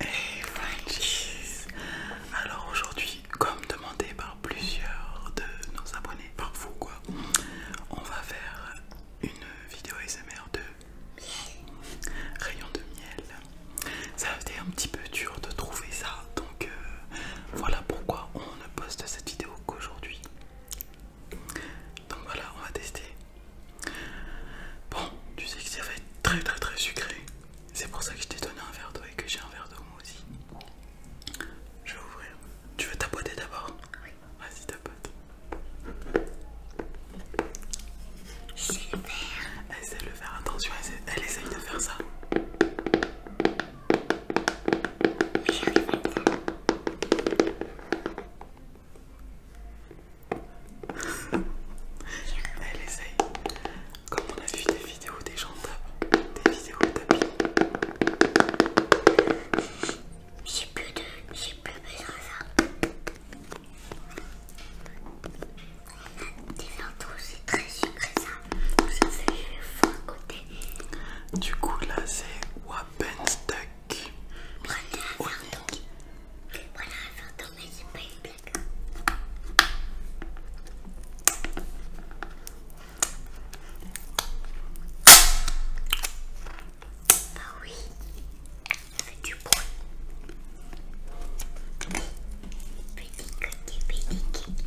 Hey Frenchies! Alors aujourd'hui, comme demandé par plusieurs de nos abonnés, par vous quoi, on va faire une vidéo SMR de rayons de miel. Ça a été un petit peu dur de trouver ça, donc euh, voilà pourquoi on ne poste cette vidéo qu'aujourd'hui. Donc voilà, on va tester. Bon, tu sais que ça va être très très très sucré. C'est pour ça que je t'ai donné un verre d'eau et que j'ai un verre d'eau moi aussi. Je vais ouvrir. Tu veux tapoter d'abord Oui. Vas-y, tapote. Super. essaie de le faire, attention, elle essaye de faire ça faire Elle essaye. Comme on a vu des vidéos des gens tapent, des vidéos tapis. J'ai plus de, j'ai plus besoin de ça. a des 20 tous c'est très sucré ça. C'est fou à côté. Du coup là c'est Wappenstack. Onique. Voilà, j'entends mais c'est pas une blague. Bah oui, ça fait du bruit. Petit coquille, petit coquille.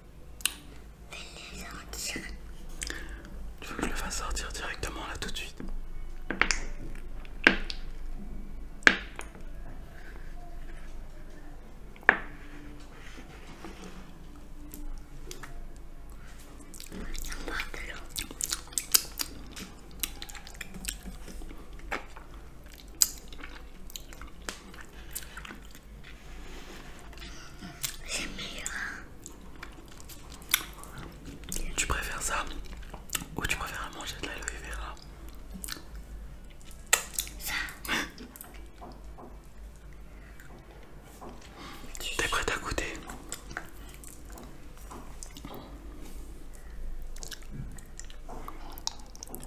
Tu veux que je le fasse sortir directement là tout de suite c'est tu préfères ça ou tu préfères manger de l'aloe vera Ça. T'es prête à goûter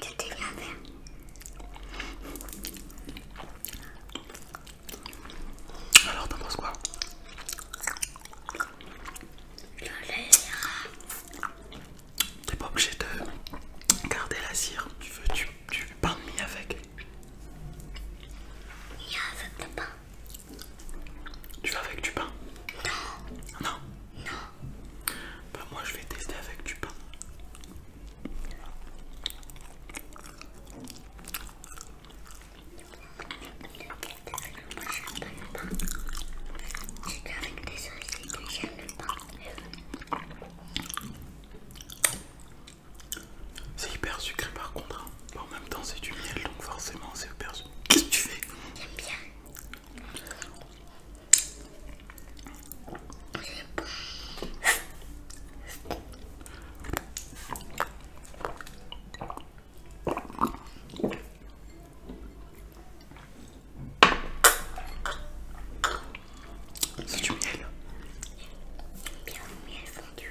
Tu t'es bien fait. Alors t'en penses quoi Je T'es pas obligé de garder la cire, tu veux du, du pain de mie avec. Il y a un pain. Tu vas avec du pain Non. Non. Bah moi je vais tester avec du pain. le C'est pain. C'est hyper sucré par contre. Hein. En même temps c'est du miel donc forcément c'est hyper sucré. Qu'est-ce que tu fais J'aime bien. C'est du miel. Bien du miel fondu.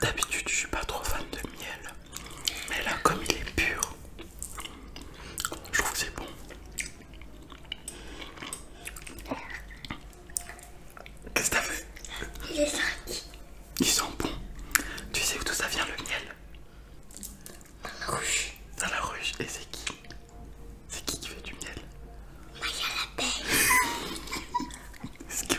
D'habitude, je suis pas trop fan de miel, mais là, comme il est pur, je trouve que c'est bon. Qu'est-ce que t'as fait Il est Ils sont bons. Tu sais où tout ça vient le miel Dans la ruche. Dans la ruche. Et c'est qui C'est qui qui fait du miel Maya la belle. quest ce que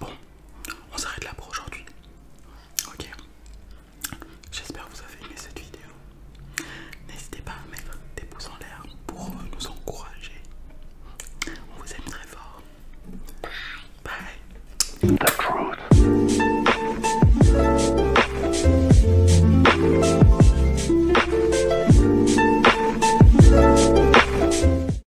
Bon, on s'arrête là pour aujourd'hui. Ok. J'espère que vous avez aimé cette vidéo. N'hésitez pas à mettre des pouces en l'air pour nous encourager. On vous aime très fort. Bye.